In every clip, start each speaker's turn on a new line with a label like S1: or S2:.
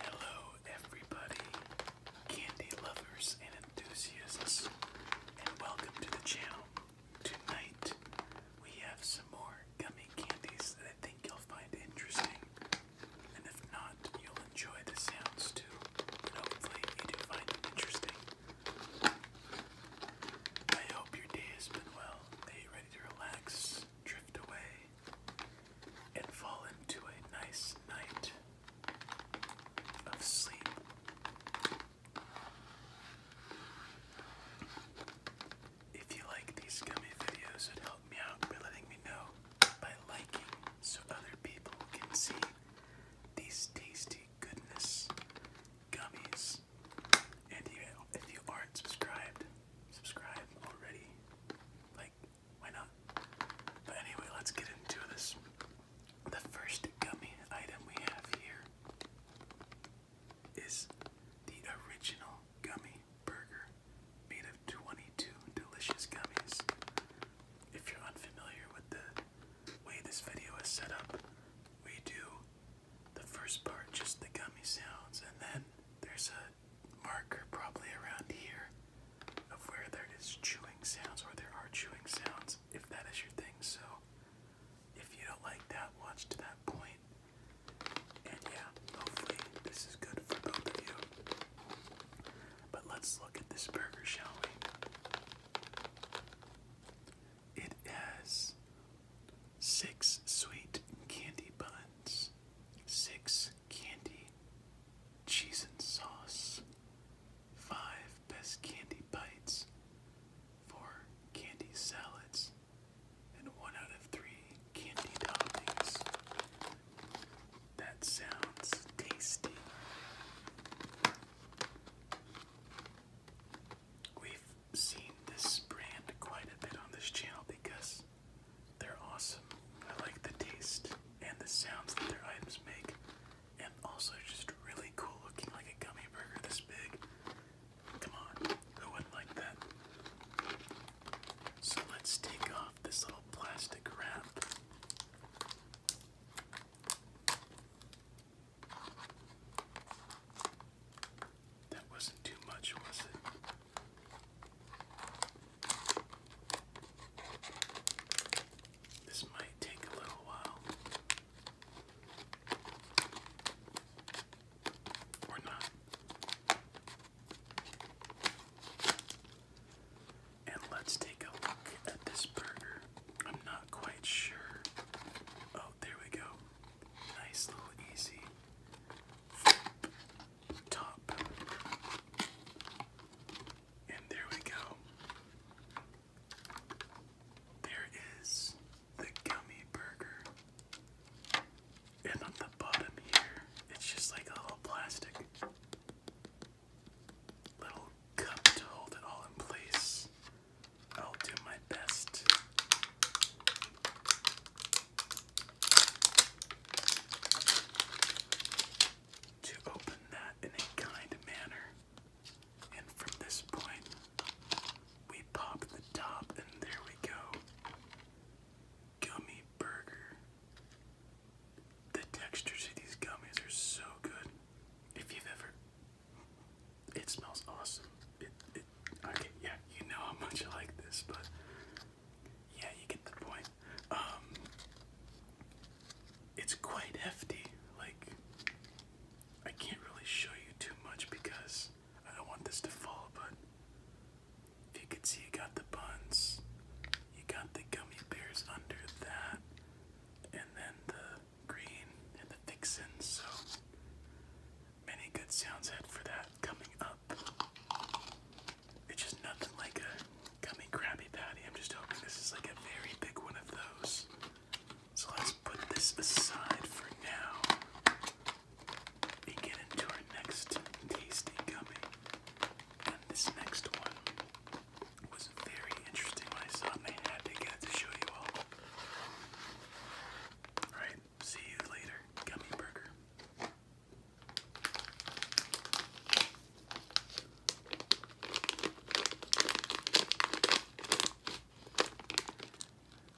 S1: Hello, everybody, candy lovers and enthusiasts, and welcome to the channel. Tonight, we have some more gummy candies that I think you'll find interesting, and if not, you'll enjoy the sounds too, hopefully, you do find them interesting. I hope your day has been well. Are you ready to relax, drift away, and fall into a nice night of sleep? If you like these gummy videos, it help me out by letting me know by liking so other people can see these tasty goodness gummies. And if you aren't subscribed, subscribe already. Like, why not? But anyway, let's get into this. The first gummy item we have here is the original gummy burger made of 22 delicious gummies. If you're unfamiliar with the way this video is set up, we do the first part, just the gummy sounds, and then there's a marker probably around here of where there is chewing sounds or there are chewing sounds, if that is your thing. So if you don't like that, watch to that point. And yeah, hopefully this is good for both of you. But let's look at this burger, shall we? It has six sweet candy buns, six candy cheese and sauce, five best candy bites, four candy salads, and one out of three candy toppings. That sounds tasty. We've seen this brand quite a bit on this channel because they're awesome. I like the taste and the sounds that their items make, and also just really cool looking like a gummy burger this big. Come on, who would like that? So let's take off this little plastic wrap. That wasn't too much, was it? This might take a little while. Or not. And let's take a look at this burger. I'm not quite sure. Oh, there we go. Nice little easy top. And there we go. There is the gummy burger. And on the bottom here, it's just like a little plastic little cup to hold it all in place. I'll do my best. To open that in a kind manner. And from this point, we pop the top, and there we go. Gummy burger. The texture to these gummies are so good. If you've ever it smells awesome. okay, yeah, you know how much I like this, but yeah, you get the point. Um, it's quite hefty. Like, I can't really show you too much because I don't want this to fall, but if you can see, you got the buns, you got the gummy bears under that, and then the Green and the Vixens, so many good sounds ahead for that coming up. It's just nothing like a gummy Krabby Patty. I'm just hoping this is like a very big one of those. So let's put this aside for now and get into our next tasty gummy. this next one was very interesting when I saw it and I to show you all. Alright, see you later, gummy burger.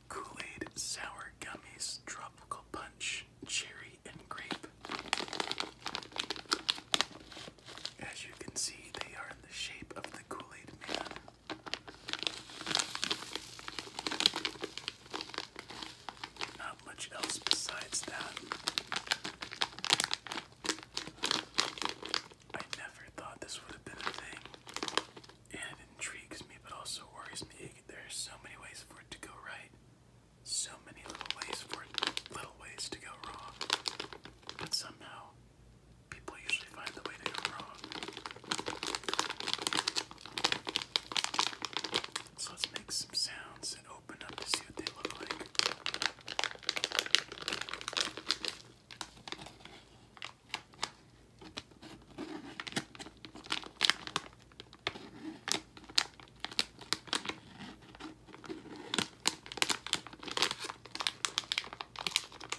S1: Kool-Aid Sour Gummies Tropical Punch Cherry and Grape. As you can see, they are in the shape of the Kool-Aid Man. Not much else besides that. I never thought this would have been a thing. And it intrigues me, but also worries me. There are so many ways for it to go right. So many little ways for it, little ways to go wrong. But somehow, people usually find the way to go wrong. So let's make some sounds and open up to see what they look like.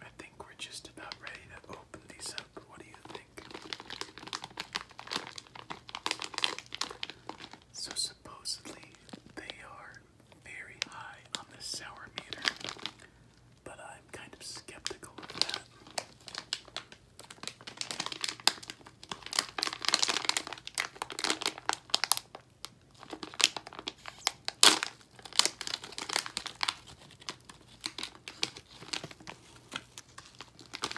S1: I think we're just about ready to open these up. What do you think? So, supposedly, they are very high on the sour meter but I'm kind of skeptical of that.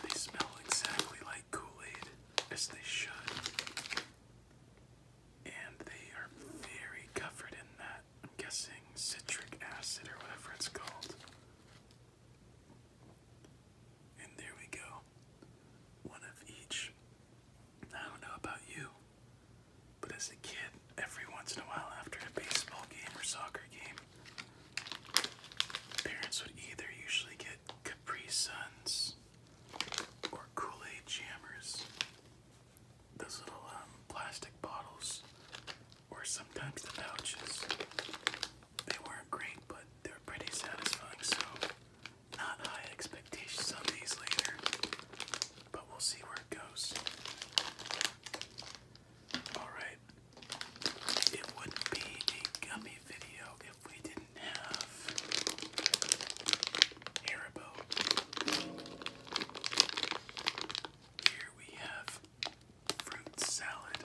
S1: They smell exactly like Kool-Aid, as they should. And they are very covered in that I'm guessing citric acid or whatever it's called. And there we go. One of each. I don't know about you, but as a kid, every once in a while after a baseball game or soccer game, parents would either usually get Capri Suns or Kool Aid Jammers those little um, plastic bottles, or sometimes the pouches. They weren't great, but they were pretty satisfying, so not high expectations on these later, but we'll see where it goes. Alright, it wouldn't be a gummy video if we didn't have Haribo. Here we have fruit salad.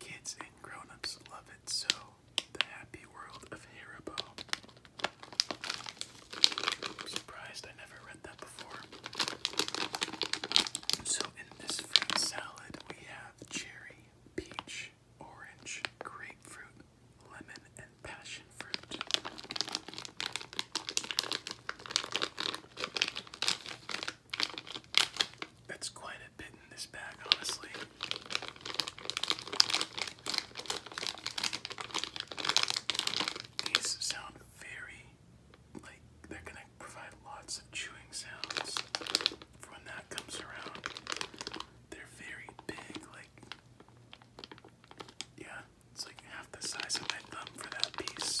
S1: Kids and grown love it, so the happy world of Haribo. surprised I never read that before. So in this fruit salad we have cherry, peach, orange, grapefruit, lemon, and passion fruit. That's quite a bit in this bag, honestly. These sound very like they're gonna provide lots of chewing sounds for when that comes around. They're very big, like yeah. It's like half the size of my thumb for that piece.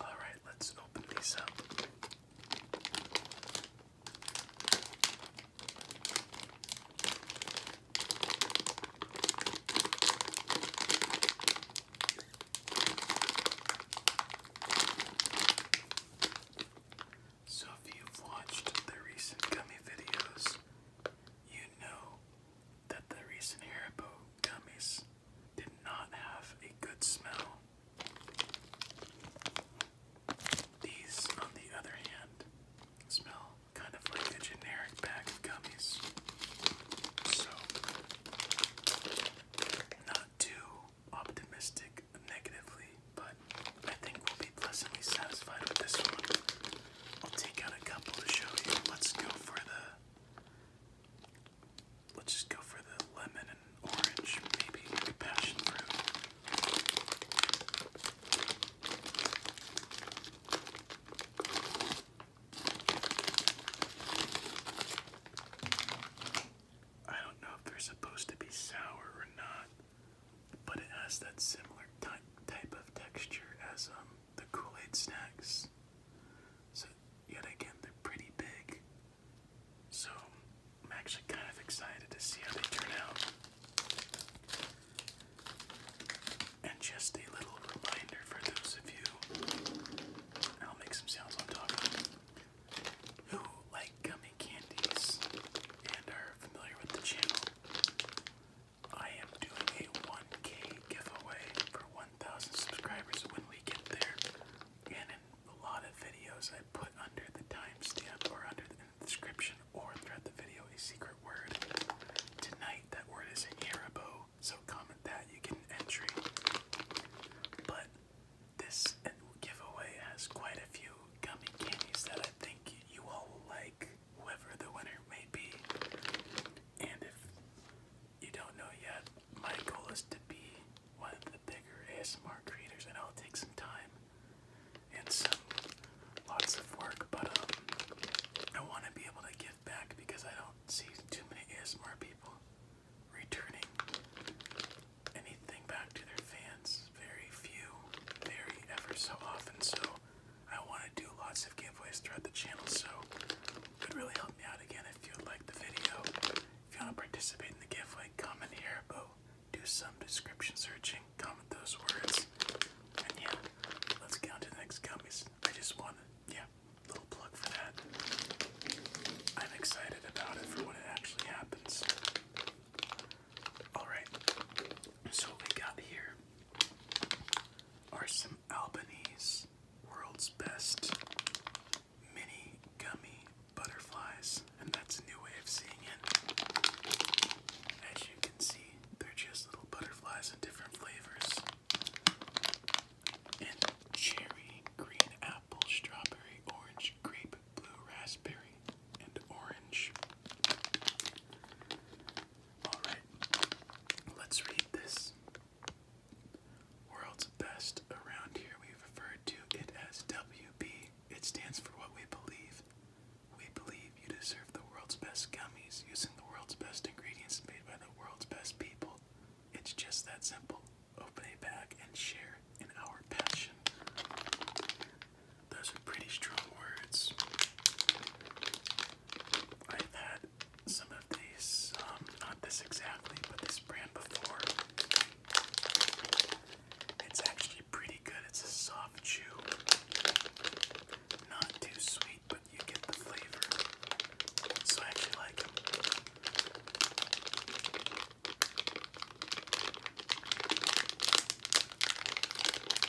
S1: All right, let's open these up. So, if you've watched the recent gummy videos, you know that the recent Haribo gummies did not have a good smell. These, on the other hand, smell kind of like a generic bag of gummies. So, not too optimistic negatively, but I think we'll be pleasantly satisfied with this one. I'll take out a couple to show you. Let's go for the. Let's just go for the lemon and orange, maybe passion fruit. I don't know if they're supposed to be sour or not but it has that similar type type of texture as um, the Kool-Aid snacks. So yet again, they're pretty big. So I'm actually kind of excited to see how they turn out. And just a little reminder for those of you, I'll make some sounds on top who like gummy candies and are familiar with the channel. I am doing a 1K giveaway for 1,000 subscribers when we get there. And in a lot of videos, I put under the timestamp or under the description or throughout the video a secret word. Tonight, that word is Haribo, so comment that, you get an entry. But this giveaway has quite a few gummy candies that I think you all will like whoever the winner may be. And if you don't know yet, my goal is to be one of the bigger ASMR creators, and I'll take some time and some lots of work, but um, I want to be able to give back because I don't see too many ASMR people returning anything back to their fans. Very few, very ever so often. So I want to do lots of giveaways throughout the channel, so it really help me out again if you like the video. If you want to participate in the giveaway, comment here below, do some description searching, comment those words, and yeah, let's get to the next gummies. I just want to, yeah, little plug for that. I'm excited about it for when it actually happens. Alright, so we got here are some Albanese World's Best Mini Gummy Butterflies, and that's a new way of seeing it. As you can see, they're just little butterflies in different flavors. cherry, green apple, strawberry, orange, grape, blue raspberry, and orange. Alright, let's read this. World's best. Around here we refer to it as WB. It stands for what we believe. We believe you deserve the world's best gummies using the world's best ingredients made by the world's best people. It's just that simple. Open a bag and share in our passion. Those are pretty strong words. I've had some of these, um, not this exactly, but this brand before. It's actually pretty good. It's a soft chew. Not too sweet, but you get the flavor. So I actually like them.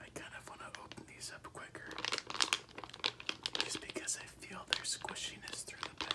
S1: I kind of want to open these up quicker just because I feel their squishiness through the bag.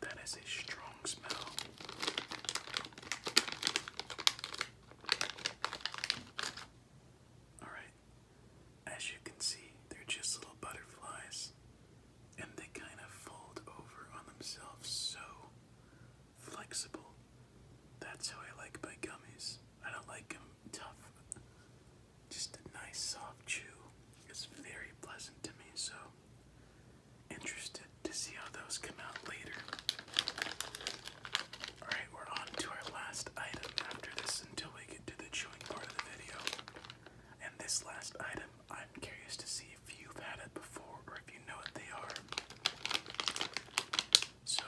S1: That is a strong smell. All right. As you can see, they're just little butterflies and they kind of fold over on themselves so flexible. That's how I like my gummies. I don't like them tough. Just a nice soft chew. It's very pleasant to me, so interested to see how those come out later. Alright, we're on to our last item after this until we get to the chewing part of the video. And this last item, I'm curious to see if you've had it before or if you know what they are. So,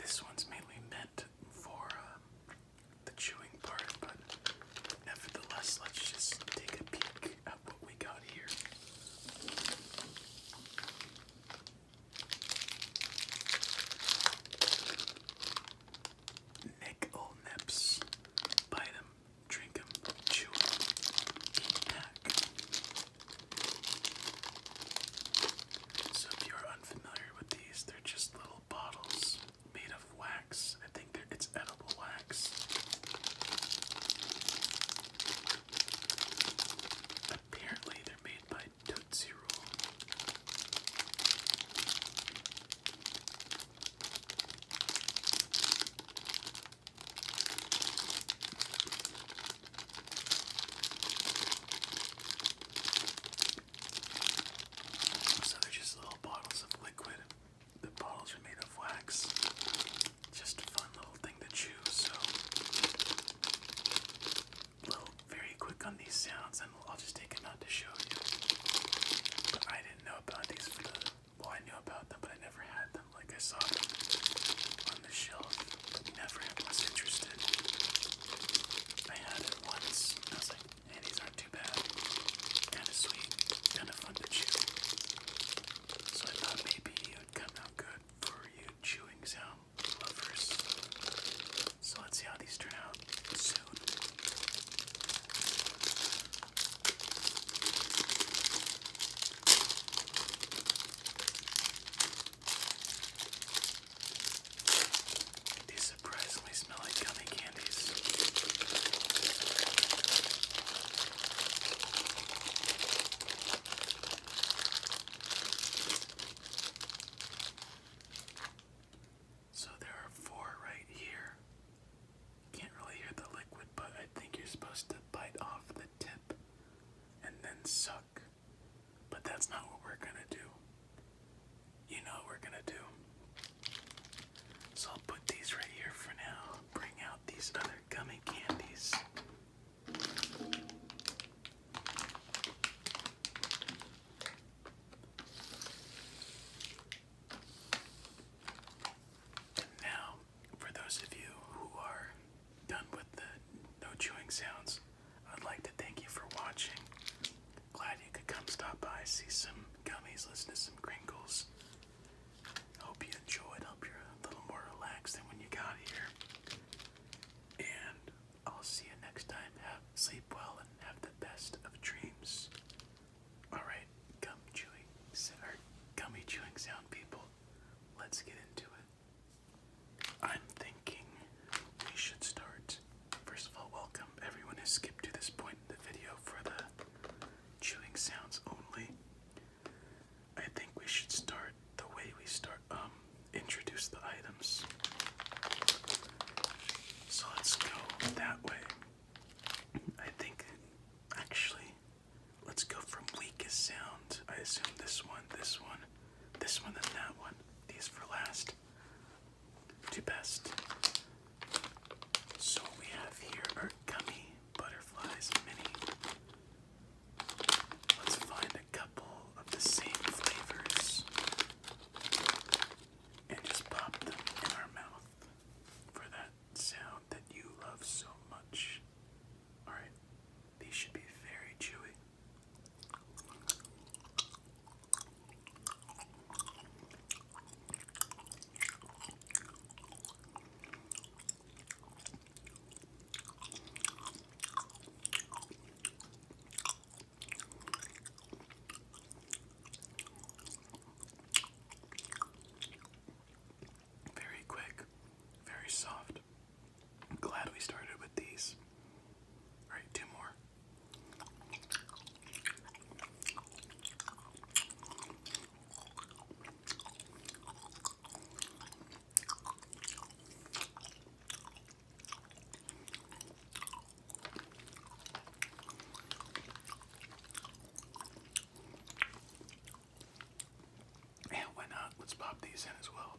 S1: this one's mainly meant for um, the chewing part, but nevertheless, let's just take a peek at what we got here. Nick O'Nips. Bite them, drink them, chew them, eat pack. So if you're unfamiliar with these, they're just little bottles made of wax. I think it's edible wax. Apparently, they're made by Tootsie Roll. So they're just little bottles of liquid the balls are made of wax. Just a fun little thing to chew, so little very quick on these sounds and I'll just take them out to show you. But I didn't know about these well I knew about them but I never had them. Like I saw them on the shelf, never was interested. I had it once. I was like, and these aren't too bad. Kind of sweet, kind of fun to chew. So I thought maybe it would come out good for you chewing sound lovers. So let's see how these turn out soon. These surprisingly smell like gummy candies. So there are four right here. Can't really hear the liquid, but I think you're supposed to bite off the tip and then suck. But that's not what we're gonna do. You know we're gonna do. So I'll put these right here for now. Bring out these other gummy candies. And now, for those of you who are done with the no chewing sounds, I'd like to thank you for watching. Glad you could come stop by, see some gummies, listen to some crinkles. Hope you enjoyed. Hope you're a little more relaxed than when you got here. And I'll see you next time. Have sleep well and have the best of dreams. Alright, gum chewing or gummy chewing sound people. Let's get into it. I'm thinking we should start. First of all, welcome everyone who skipped to this point in the video for the Chewing sounds only. I think we should start the way we start um introduce the items. So let's go that way. I think actually let's go from weakest sound. I assume this one, this one, this one, and that one. These for last to best. So we have here our gummy butterflies mini. Let's find a couple of the same flavors and just pop them in our mouth for that sound that you love so much. Alright, these should be very chewy. Very quick, very soft. glad we started with these. All right, two more. Yeah, why not? Let's pop these in as well.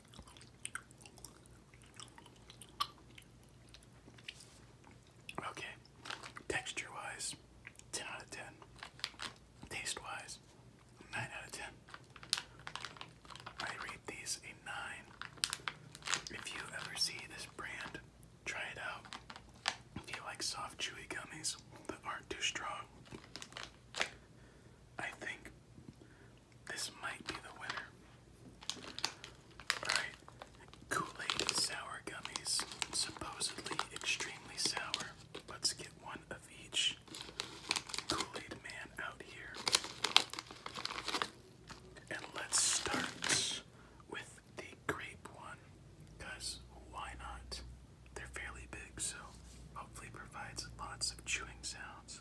S1: Okay, texture wise, 10 out of 10. Taste wise, 9 out of 10. I rate these a 9. If you ever see this brand, try it out. If you like soft, chewy gummies that aren't too strong, I think this might be the winner. Alright, Kool Aid Sour Gummies. Supposedly extremely sour. Let's get one of each. Kool Aid Man out here. And let's start with the grape one. Because why not? They're fairly big, so hopefully provides lots of chewing sounds.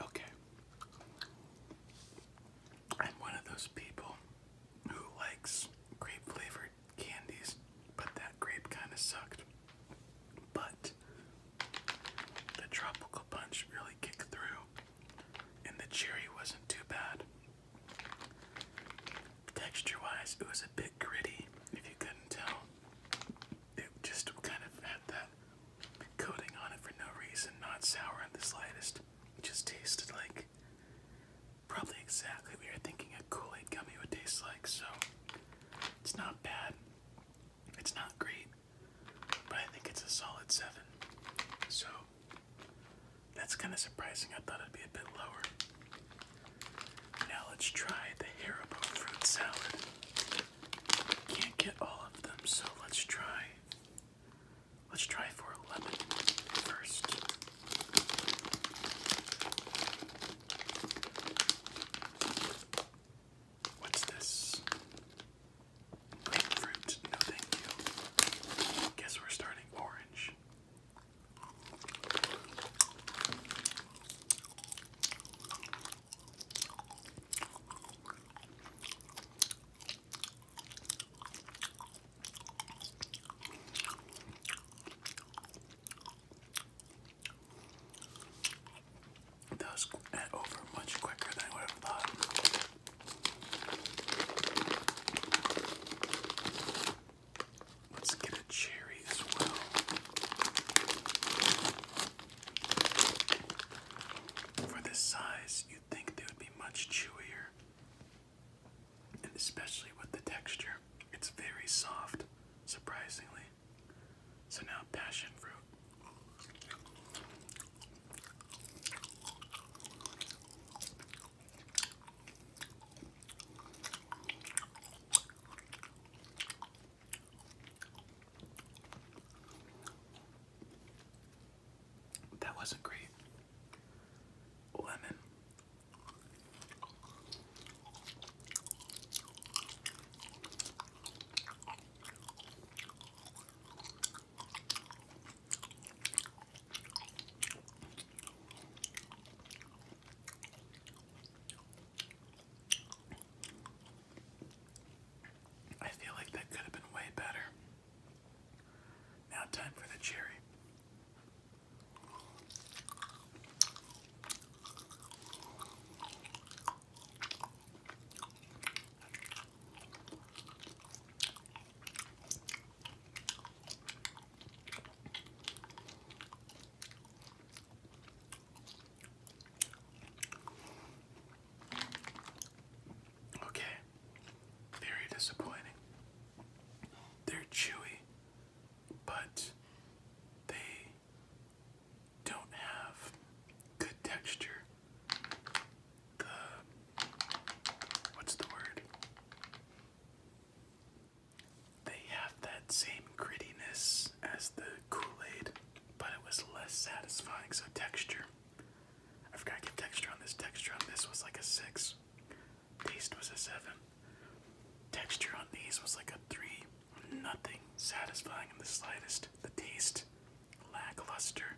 S1: Okay. I'm one of those people who likes grape flavored candies, but that grape kind of sucked. But the tropical punch really kicked through, and the cherry wasn't too bad texture wise, it was a bit gritty, if you couldn't tell. It just kind of had that coating on it for no reason, not sour in the slightest. It just tasted like probably exactly what you're thinking a Kool Aid gummy would taste like, so it's not bad. It's not great, but I think it's a solid 7. So that's kind of surprising. I thought it'd be a bit lower. Now let's try the Haribo fruit salad. Can't get all of them, so let's try. Let's try for lemon first. What's this? Grapefruit? No, thank you. Guess we're starting orange. That was eh, over much quicker than I would have thought. Let's get a cherry as well. For this size, you'd think they would be much chewier, and especially with the texture. It's very soft, surprisingly. So now, passion fruit. That wasn't great. Lemon. I feel like that could have been way better. Now, time for the cherry. Okay, very disappointing. They're chewy, but they don't have good texture. The what's the word? They have that same grittiness as the Kool-Aid, but it was less satisfying, so texture. I forgot to get texture on this. Texture on this was like a 6. Taste was a 7. Texture on these was like a 3. Nothing satisfying in the slightest. The taste, lackluster,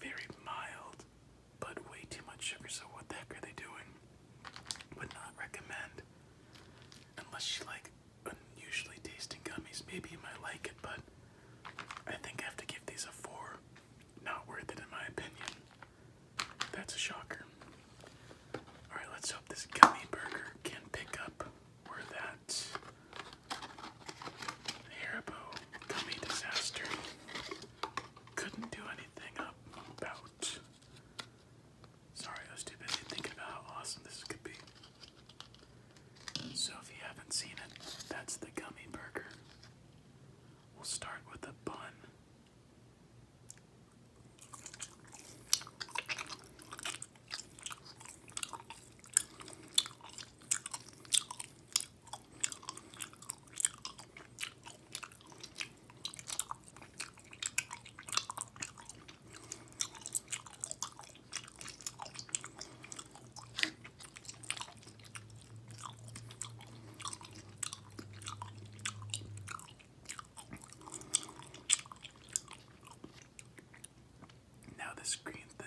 S1: very mild, but way too much sugar. So what the heck are they doing? Would not recommend unless you like unusually tasting gummies. Maybe you might like it, but I think I have to give these a four. Not worth it in my opinion. That's a shocker. Alright, let's hope this gummy burger can pick up where that Haribo gummy disaster couldn't do anything about. Sorry, I was too busy thinking about how awesome this could be. So, if you haven't seen it, that's the gummy burger. We'll start with a bun. Now this green thing.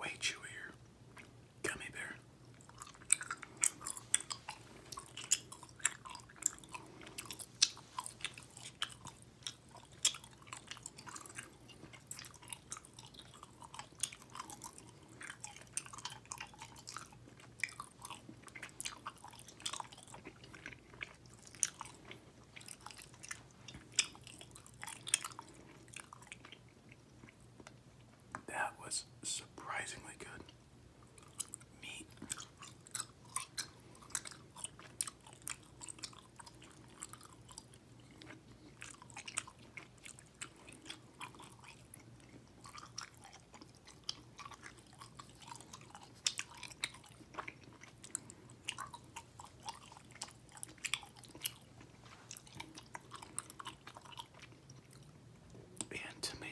S1: Way chewier gummy bear. That was surprisingly good. Meat and tomato.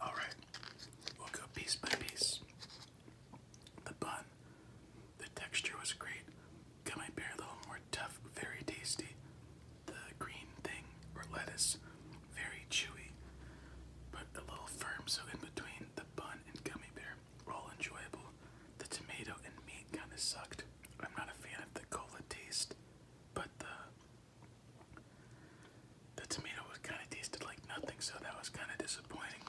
S1: All right, we'll go piece by piece. The bun, the texture was great. Got my beer a little more tough, very tasty. The green thing or lettuce, very chewy, but a little firm. So in between the bun and gummy bear, all enjoyable. The tomato and meat kind of sucked. I'm not a fan of the cola taste, but the the tomato was kind of tasted like nothing, so that was kind of disappointing.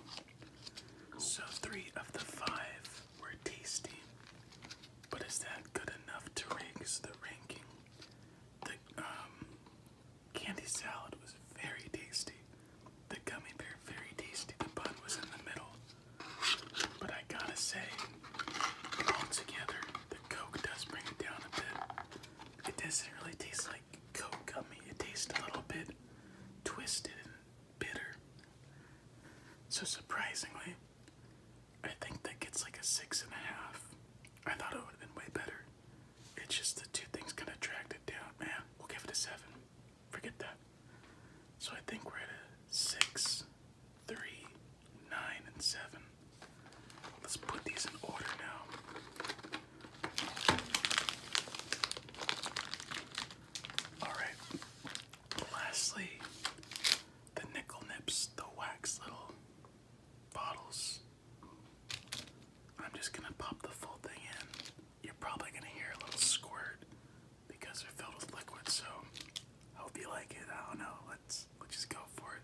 S1: So three of the five were tasty, but is that good enough to rank the ranking? The um, candy salad was very tasty. The gummy bear very tasty. The bun was in the middle. But I gotta say, altogether, the Coke does bring it down a bit. It doesn't really taste like Coke gummy. It tastes a little bit twisted and bitter. So surprisingly, I think that gets like a six and a half. I thought it would have been way better. It's just the two things kind of dragged it down. Man, we'll give it a seven. Forget that. So I think we're at a six, three, nine, and seven. Let's put these in order now. Alright. Lastly, the nickel nips, the wax little bottles. I'm just gonna pop the full thing in. You're probably gonna hear a little squirt because they're filled with liquid, so I hope you like it. I don't know, let's let's just go for it.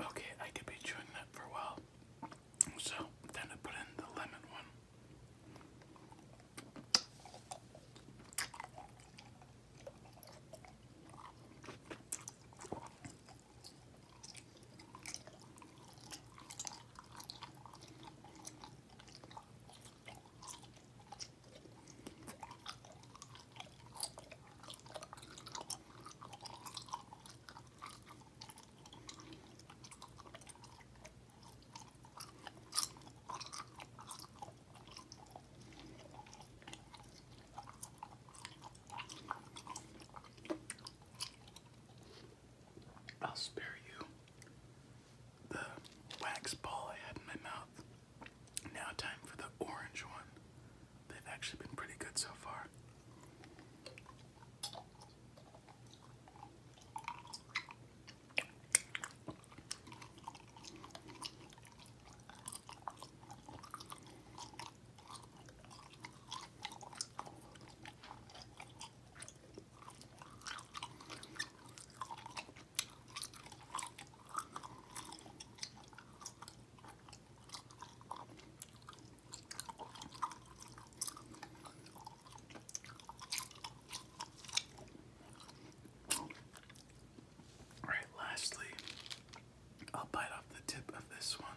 S1: Okay, I could be chewing that for a while. So then I put in the lemon one. I'll spare you the wax ball I had in my mouth. Now time for the orange one. They've actually been pretty good so far. All right, lastly, I'll bite off the tip of this one.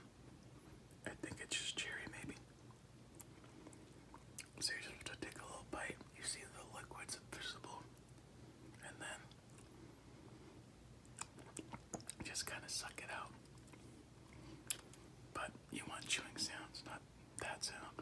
S1: I think it's just cherry, maybe. So you just have to take a little bite. You see the liquid's invisible, and then just kind of suck it out. But you want chewing sounds, not that sound.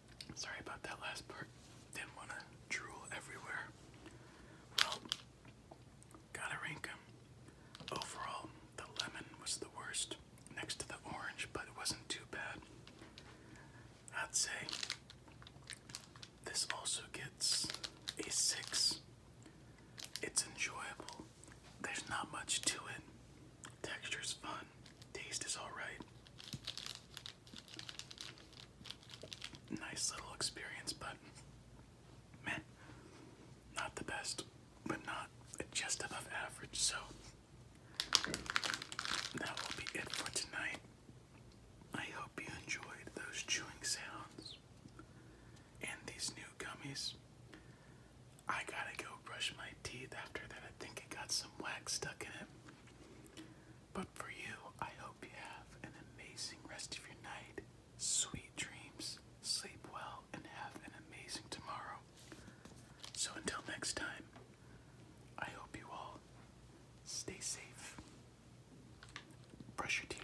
S1: Sorry about that last part. Didn't want to drool everywhere. Well, gotta rank Overall, the lemon was the worst next to the orange, but it wasn't too bad. I'd say this also gets a 6. It's enjoyable. There's not much to it. Texture's fun. Taste is alright nice little experience, but not the best, but not just above average. So that will be it for tonight. I hope you enjoyed those chewing sounds and these new gummies. I gotta go brush my teeth after that. I think it got some wax stuck in it. But for you, I hope you have an amazing rest of your night, sweet dreams, sleep well, and have an amazing tomorrow. So until next time, I hope you all stay safe, brush your teeth.